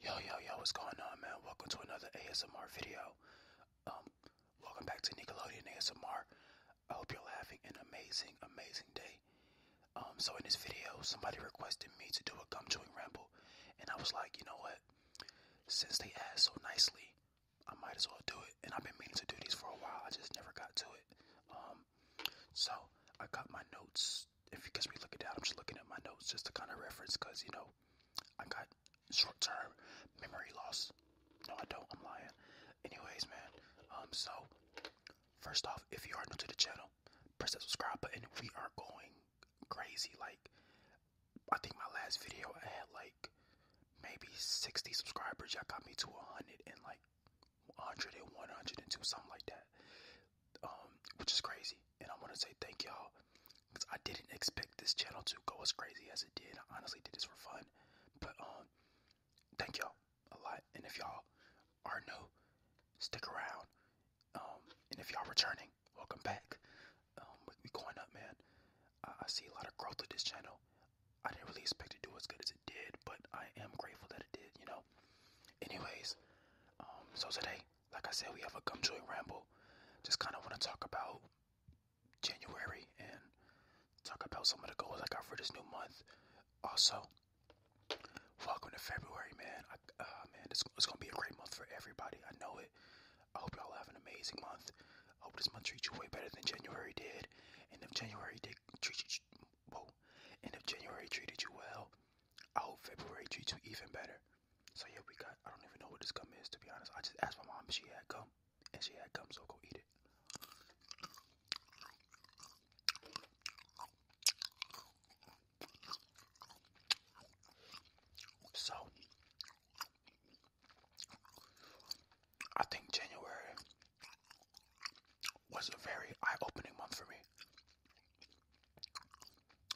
Yo, yo, yo, what's going on, man? Welcome to another ASMR video. Um, welcome back to Nickelodeon ASMR. I hope you're having an amazing, amazing day. Um, so in this video, somebody requested me to do a gum chewing ramble, and I was like, you know what? Since they asked so nicely, I might as well do it. And I've been meaning to do these for a while. I just never got to it. Um, so I got my notes if because we look at that, I'm just looking at my notes just to kind of reference because you know I got short-term memory loss. No, I don't. I'm lying. Anyways, man. Um, so first off, if you are new to the channel, press that subscribe button. We are going crazy. Like I think my last video I had like maybe 60 subscribers. Y'all got me to 100 and like 100 and 102, something like that um, which is crazy. And I want to say thank y'all because I didn't expect this channel to go as crazy as it did. I honestly did this for fun, but um, thank y'all a lot. And if y'all are new, stick around. Um, and if y'all returning, welcome back. Um, we, going up, man. I, I see a lot of growth with this channel. I didn't really expect to do as good as it did, but I am grateful that it did. You know. Anyways, um, so today like I said, we have a gum chewing ramble. Just kind of want to talk about January and talk about some of the goals I got for this new month. Also, welcome to February, man. I, uh, man, it's, it's gonna be a great month for everybody. I know it. I hope y'all have an amazing month. I hope this month treats you way better than January did. And if January did treat you, whoa, and if January treated you well, I oh, hope February treats you even better. So yeah, we got. I don't even know what this gum is to be honest. I just asked my mom she had gum, and she had gum, so go eat it. So I think January was a very eye-opening month for me.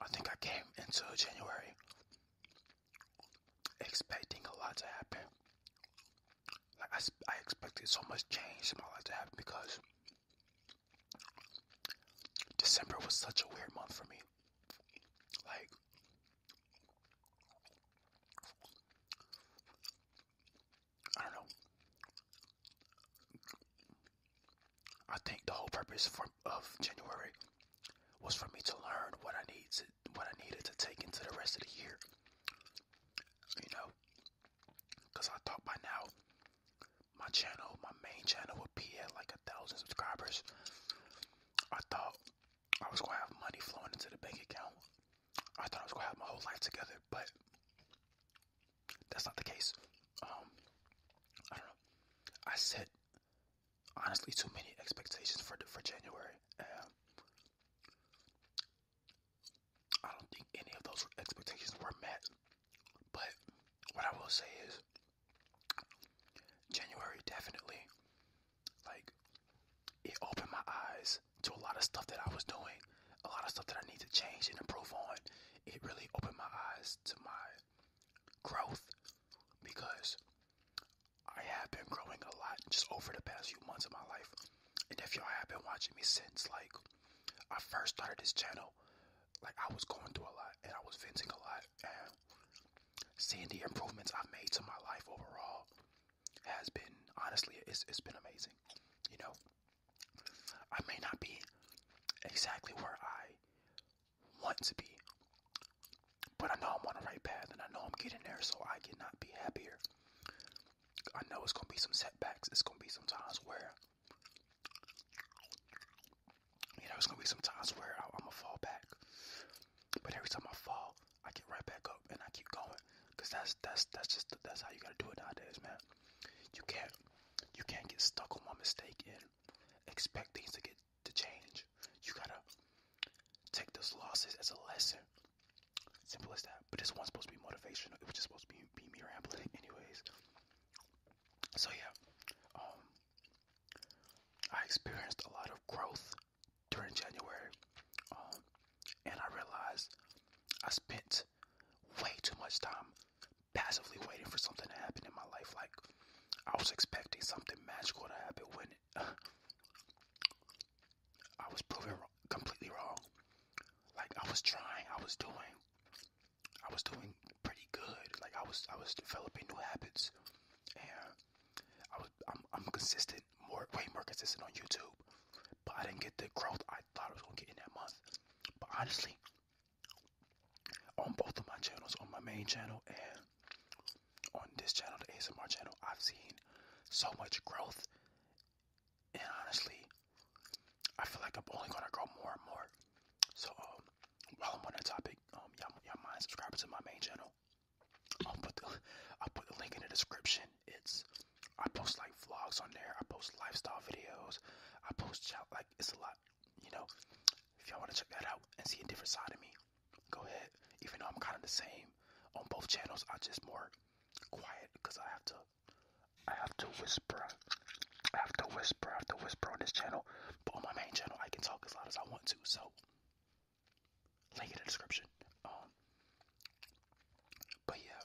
I think I came into January expecting a lot to happen. Like I, I expected so much change in my life to happen because December was such a weird month for me. Like I don't know. I think the whole purpose of January was for me to learn what I need to what I needed to take into the rest of the year. You know, because I thought by now my channel, my main channel, would be at like a thousand subscribers. I thought I was gonna have money flowing into the bank account. I thought I was gonna have my whole life together, but that's not the case. Um, I don't know. I set honestly too many expectations for for January. I don't think any of those expectations were met. But what I will say is, January definitely, like, it opened my eyes to a lot of stuff that I was doing a lot of stuff that I need to change and improve on. It really opened my eyes to my growth because I have been growing a lot just over the past few months of my life. And if y'all have been watching me since like I first started this channel, like I was going through a lot and I was venting a lot and seeing the improvements I've made to my life overall has been honestly it's, it's been amazing. You know, I may not be exactly where I want to be, but I know I'm on the right path and I know I'm getting there, so I cannot be happier. I know it's going to be some setbacks, it's going to be some times where, you know, it's going to be some times where I, I'm going to fall back. But every time I fall, I get right back up and I keep going, cause that's that's that's just that's how you gotta do it nowadays, man. You can't you can't get stuck on one mistake and expect things to get to change. You gotta take those losses as a lesson. Simple as that. But this one's supposed to be motivational. It was just supposed to be, be me rambling, anyways. So yeah, um, I experienced a lot of growth during January, um, and I realized I spent way too much time passively waiting for something to happen in my life. Like I was expecting something magical to happen when I was proven completely wrong. Like I was trying, I was doing, I was doing pretty good. Like I was, I was developing new habits, and I was, I'm, I'm consistent, more way more consistent on YouTube, but I didn't get the growth I thought I was gonna get in that month. But honestly, on both of my channels, on my main channel and on this channel, the ASMR channel, I've seen so much growth. And honestly, I feel like I'm only gonna grow more and more. So um, while I'm on that topic, um, y'all, y'all mind subscribing to my main channel? I'll put the I'll put the link in the description. It's I post like vlogs on there. I post lifestyle videos. I post like it's a lot. You know, if y'all want to check that out and see a different side of me, go ahead. Even though I'm kind of the same on both channels, I just more quiet because I have to. I have to whisper. I have to whisper. I have to whisper on this channel. But on my main channel, I can talk as loud as I want to. So, link in the description. Um, but yeah,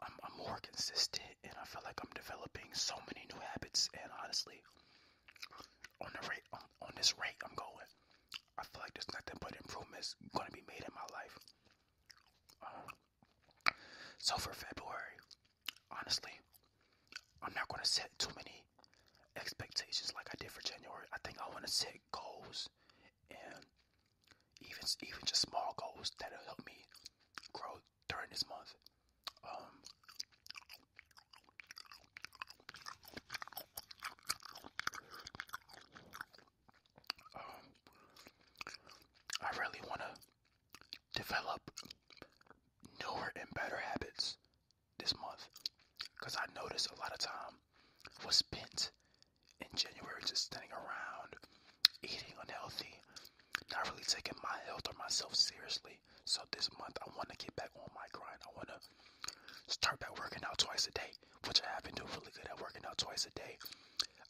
I'm, more consistent and I feel like I'm developing so many new habits. And honestly, on the rate on, this rate I'm going, I feel like there's nothing but improvements going to be made in my life. Um, so for February, honestly, I'm not going to set too many expectations like I did for January. I think I want to set goals and even even just small goals that'll help me grow during this month. Um, um I really want to develop newer and better habits this month because I notice a lot of time was spent in January just standing around, eating unhealthy, not really taking my health or myself seriously. So this month I want to get back on my grind. I want to start back working out twice a day, which I have been doing really good at working out twice a day.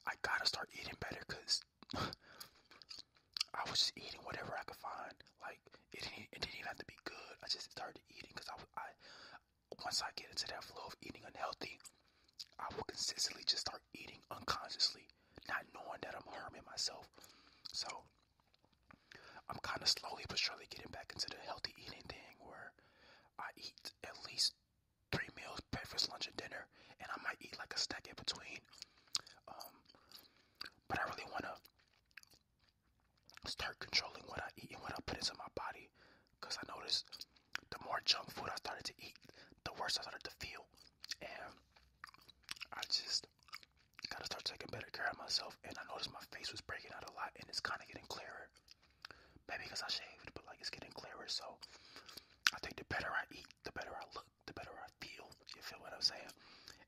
I gotta start eating better because I was just eating whatever I could find. Like it didn't, even have to be good. I just started eating because I, was I once I get into that flow of eating unhealthy, I will consistently just start eating unconsciously, not knowing that I'm harming myself. So I'm kind of slowly but surely getting back into the healthy eating thing where I eat at least three meals breakfast, lunch, and dinner, and I might eat like a snack in between. Um, but I really want to start controlling what I eat and what I put into my body Cause I noticed the more junk food I started to eat, the worse I started to feel. And I just gotta start taking better care of myself. And I noticed my face was breaking out a lot and it's kinda getting clearer. Maybe because I shaved, but like it's getting clearer. So I think the better I eat, the better I look, the better I feel. You feel what I'm saying?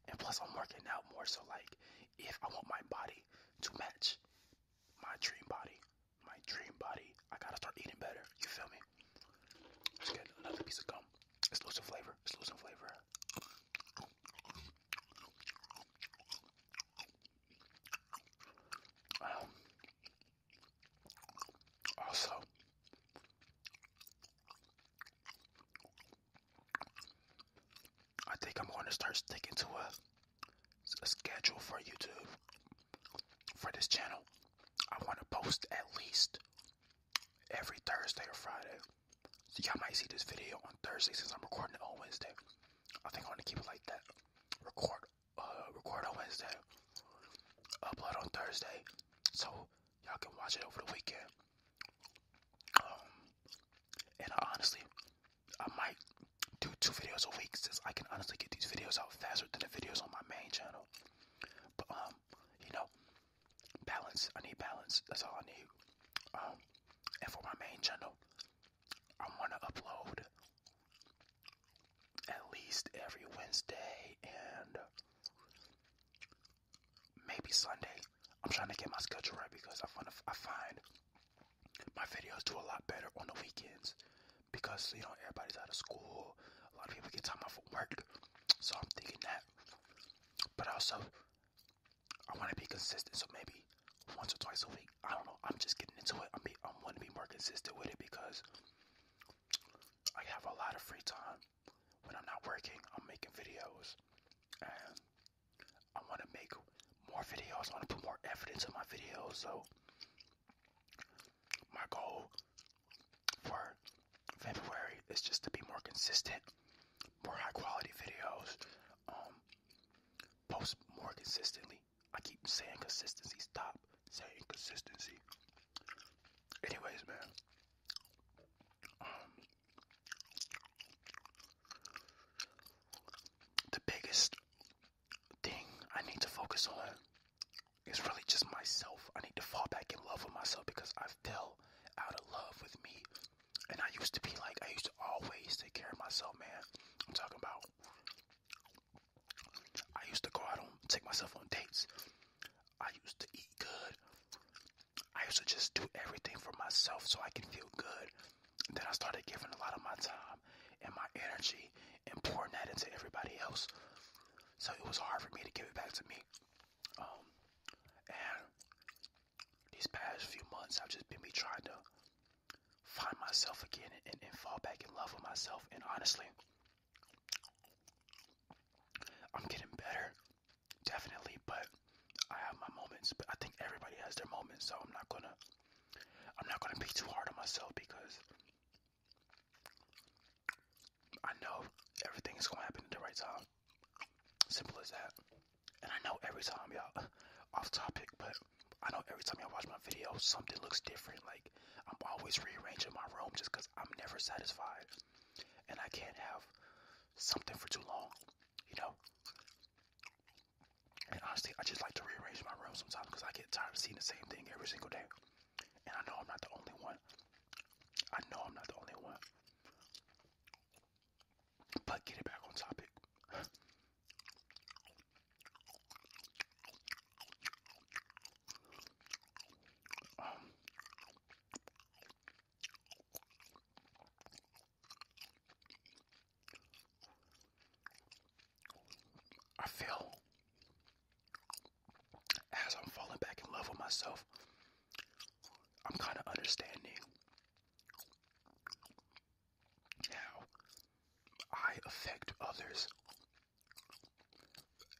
And plus I'm working out more. So like if I want my body to match my dream body, my dream body. I gotta start eating better. You feel me? Let's get another piece of gum. It's flavor. It's flavor. Um, also, I think I'm going to start sticking to a schedule for YouTube for this channel. I want to post at least every Thursday or Friday. So y'all might see this video on Thursday since I'm recording it on Wednesday. I think I want to keep it like that. Record, uh, record on Wednesday, upload on Thursday, so y'all can watch it over the weekend. Um, and honestly, I might do two videos a week since I can honestly get these videos out faster than the videos on my main channel. But um, you know, balance. I need balance. That's all I need. Um, and for my main channel, I want to upload at least every Wednesday and maybe Sunday. I'm trying to get my schedule right because I want I find my videos do a lot better on the weekends because you know everybody's out of school. A lot of people get time off from work, so I'm thinking that. But also, I want to be consistent, so maybe once or twice a week. I don't know. I'm just getting into it. I'm be, I'm want to be more consistent with it because I have a lot of free time when I'm not working. I'm making videos, and I want to make more videos. I want to put more effort into my videos. So my goal for February is just to be more consistent, more high quality videos, um, post more consistently. I keep saying consistency. Stop saying consistency. Anyways, man. Um, the biggest thing I need to focus on is really just myself. I need to fall back in love with myself because I am still out of love with me. And I used to be like, I used to always take care of myself, man. I'm talking about, I used to go out on, take myself on dates. I used to eat good. I used to just do everything for myself so I can feel good. Then I started giving a lot of my time and my energy and pouring that into everybody else. So it was hard for me to give it back to me. Um, and these past few months, I've just been me trying to find myself again and, and, and fall back in love with myself. And honestly, I'm getting better, definitely, but I have my moments. But I think everybody has their moments, so I'm not gonna I'm not going to be too hard on myself because I know everything is going to happen at the right time. Simple as that. And I know every time y'all off topic, but I know every time y'all watch my video, something looks different. Like I'm always rearranging my room just because I'm never satisfied, and I can't have something for too long. You know, and honestly, I just like to rearrange my room sometimes because I get tired of seeing the same thing every single day. And I know I'm not the only one. I know I'm not the only one. But get it back on topic. Um, I feel as I'm falling back in love with myself, I'm kind of understanding how I affect others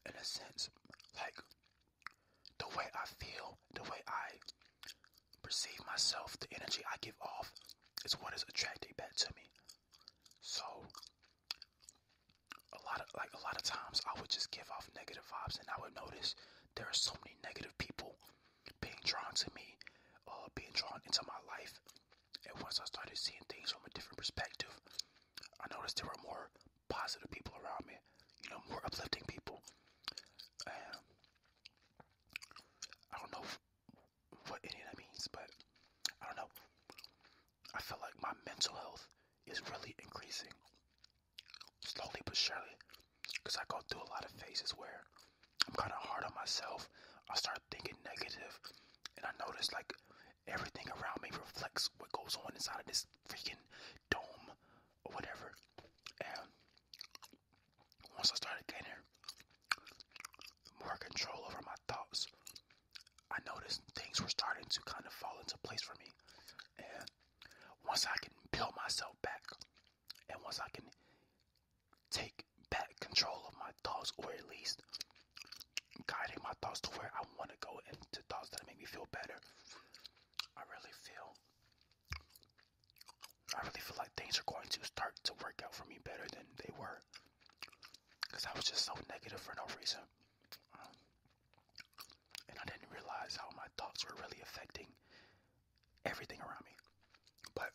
in a sense. Like the way I feel, the way I perceive myself, the energy I give off is what is attracting back to me. So a lot of like a lot of times I would just give off negative vibes and I would notice there are so many negative people being drawn to me, uh, being drawn into my life. And once I started seeing things from a different perspective, I noticed there were more positive people around me, you know, more uplifting people. And I don't know what any of that means, but I don't know. I feel like my mental health is really increasing slowly but surely because I go through a lot of phases where I'm kind of hard on myself. I start thinking negative, and I notice like everything around me reflects what goes on inside of this freaking dome or whatever. And once I started gaining more control over my thoughts, I noticed things were starting to kind of fall into place for me. And once I can build myself back, and once I can take back control of my thoughts, or at least guiding my thoughts to where I want to go and to thoughts that make me feel better, I really feel I really feel like things are going to start to work out for me better than they were. Because I was just so negative for no reason. and I didn't realize how my thoughts were really affecting everything around me. But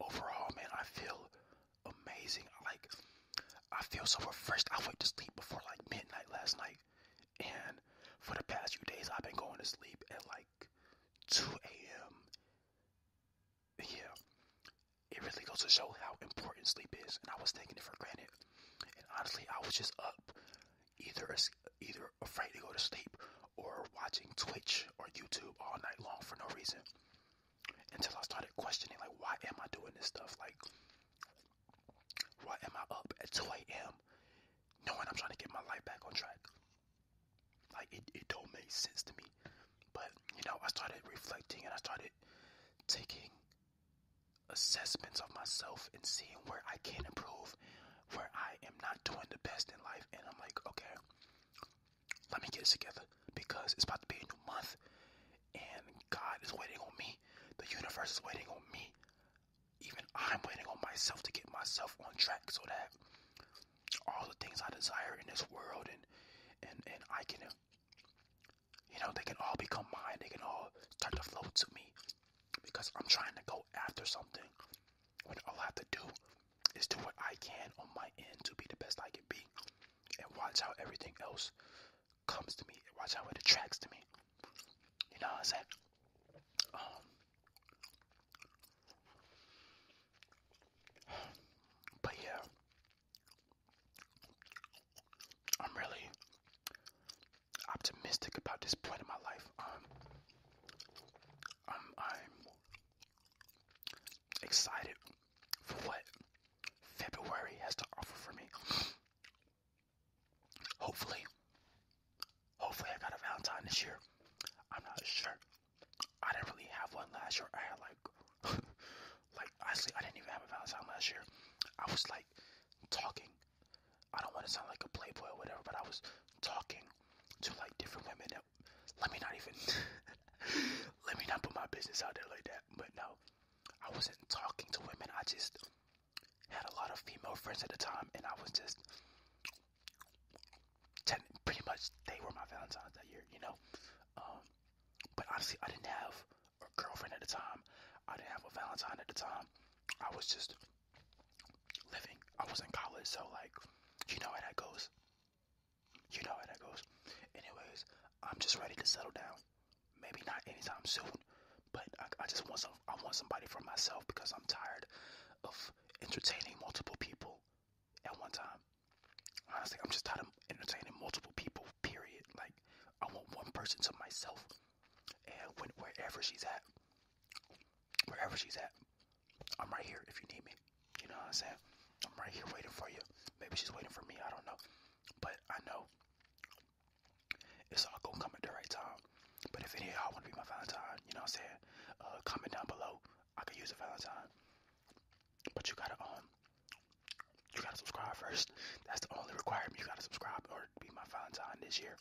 overall, man, I feel amazing. Like, I feel so refreshed. I went to sleep before like midnight last night. And for the past few days, I've been going to sleep at like 2 a.m. Yeah, it really goes to show how important sleep is. And I was taking it for granted. And honestly, I was just up, either either afraid to go to sleep or watching Twitch or YouTube all night long for no reason. Until I started questioning, like, why am I doing this stuff? Like, why am I up at 2 a.m. knowing I'm trying to get my life back on track? Like it, it don't make sense to me. But you know, I started reflecting and I started taking assessments of myself and seeing where I can improve, where I am not doing the best in life, and I'm like, okay, let me get this together because it's about to be a new month and God is waiting on me. The universe is waiting on me even I'm waiting on myself to get myself on track so that all the things I desire in this world and and and I can you know they can all become mine they can all start to flow to me because I'm trying to go after something when all I have to do is do what I can on my end to be the best I can be and watch how everything else comes to me. Watch out what attracts to me. You know what I'm um, but yeah, I'm really optimistic about this point in my life. Um, I'm, I'm excited for what February has to offer for me. Hopefully, hopefully I got a Valentine this year. I'm not sure. I didn't really have one last year. I had like, like honestly, I didn't even have a Valentine last year. I was like talking. I don't want to sound like a playboy or whatever, but I was talking to like different women. let me not even, let me not put my business out there like that. But no, I wasn't talking to women. I just had a lot of female friends at the time, and I was just pretty much they were my Valentine's that year, you know. Um, but honestly, I didn't have a girlfriend at the time. I didn't have a Valentine at the time. I was just living. I was in college, so like, you know how that goes. You know how that goes. Anyways, I'm just ready to settle down. Maybe not anytime soon, but I, just want some. I want somebody for myself because I'm tired of entertaining multiple people at one time. Honestly, I'm just tired of entertaining multiple people. Period. Like, I want one person to myself, and when, wherever she's at, wherever she's at, I'm right here if you need me. You know what I'm saying? I'm right here waiting for you. Maybe she's waiting for me. I don't know, but I know it's all gonna come at the right time. But if any of y'all wanna be my Valentine, you know what I'm saying? Uh, comment down below. I could use a Valentine. But you gotta um you gotta subscribe first. That's the only requirement. You gotta subscribe or be my Valentine this year.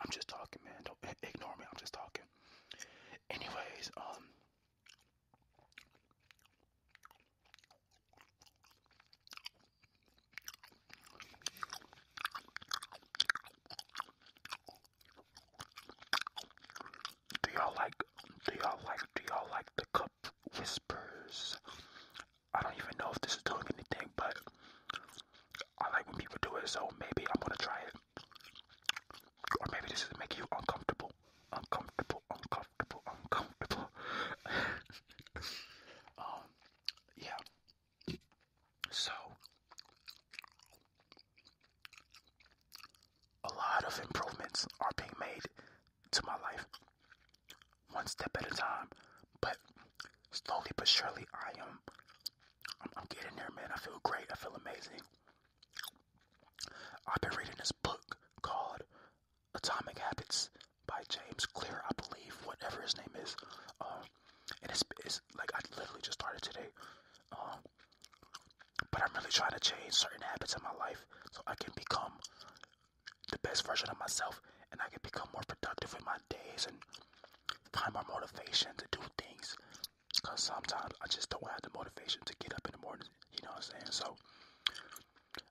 I'm just talking, man. Don't ignore me. I'm just talking. Anyways, um, do y'all like do y'all like do y'all like the cup whispers? I don't even know if this is doing anything, but I like when people do it, so maybe I'm gonna try it. Or maybe this is making you uncomfortable. Uncomfortable, uncomfortable uncomfortable. um, yeah. So, a lot of improvements are being made to my life, one step at a time. But slowly but surely, I'm, I'm getting there, man. I feel great. I feel amazing. I've been reading this book called Atomic Habits by James Clear, I believe, whatever his name is. Um, and it's, it's like I literally just started today. Um, but I'm really trying to change certain habits in my life so I can become the best version of myself and I can become more productive in my days and find more motivation to do things. Because sometimes I just don't have the motivation to get up in the morning, you know what I'm saying? So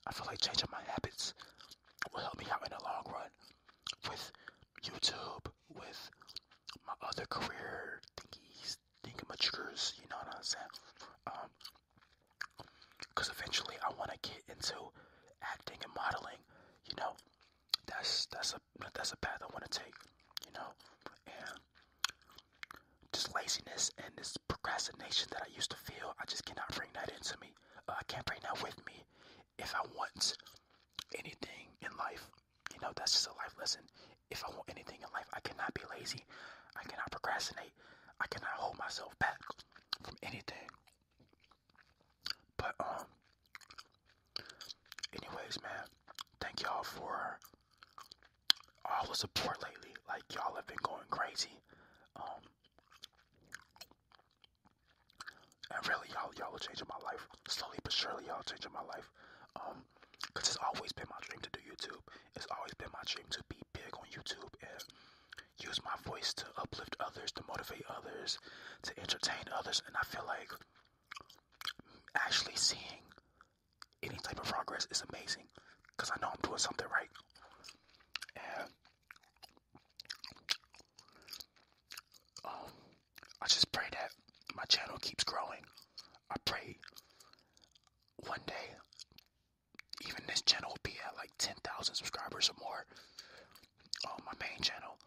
I feel like changing my habits will help me out in the long run with YouTube, with my other career thingies, thingamatures, you know what I'm saying? Um, because eventually I want to get into acting and modeling, you know? That's that's a that's a path I want to take, you know, and just laziness and this procrastination that I used to feel. I just cannot bring that into me. Uh, I can't bring that with me if I want anything in life. You know, that's just a life lesson. If I want anything in life, I cannot be lazy. I cannot procrastinate. I cannot hold myself back from anything. But, um, anyways, man, thank y'all for all the support lately. Like y'all have been going crazy. Um and really y'all y'all are changing my life. Slowly but surely y'all changing my life. Um because it's always been my dream to do YouTube. It's always been my dream to be big on YouTube and use my voice to uplift others, to motivate others, to entertain others. And I feel like actually seeing any type of progress is amazing because I know I'm doing something right. And um, I just pray that my channel keeps growing. I pray one day, even this channel will be at like 10,000 subscribers or more. Um, my main channel.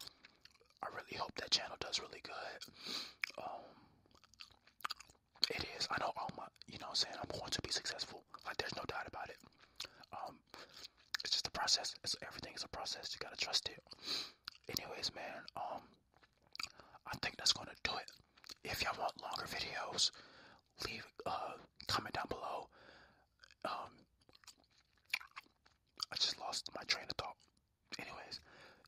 I really hope that channel does really good. Um, it is. I know all my, you know what I'm saying? I'm going to be successful. Like, there's no doubt about it. Um, it's just a process. It's everything is a process. You gotta trust it. Anyways, man, um, I think that's gonna do it. If y'all want longer videos, leave uh comment down below. Um, I just lost my train of thought. Anyways,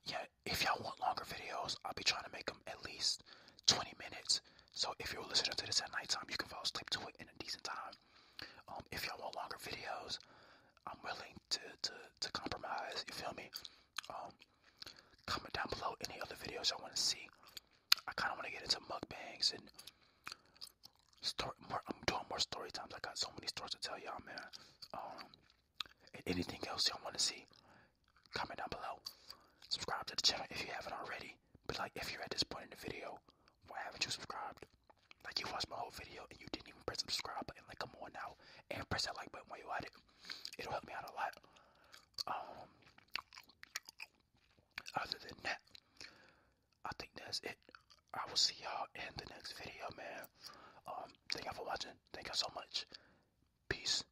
yeah, if y'all want longer videos, I'll be trying to make them at least 20 minutes. So if you're listening to this at nighttime, you can fall asleep to it in a decent time. Um, if y'all want longer videos, I'm willing to, to, to compromise. You feel me? Um, comment down below any other videos I want to see. I kind of want to get into mukbangs and story. More, I'm doing more story times. I got so many stories to tell y'all, man. Um, anything else y'all want to see, comment down below. Subscribe to the channel if you haven't already. But like if you're at this point in the video, why haven't you subscribed? Like you watched my whole video and you didn't even press the subscribe button. Like come on now, and press that like button while you're at it. It'll help me out a lot. Um. Other than that, I think that's it. I will see y'all in the next video, man. Um, thank y'all for watching. Thank y'all so much. Peace.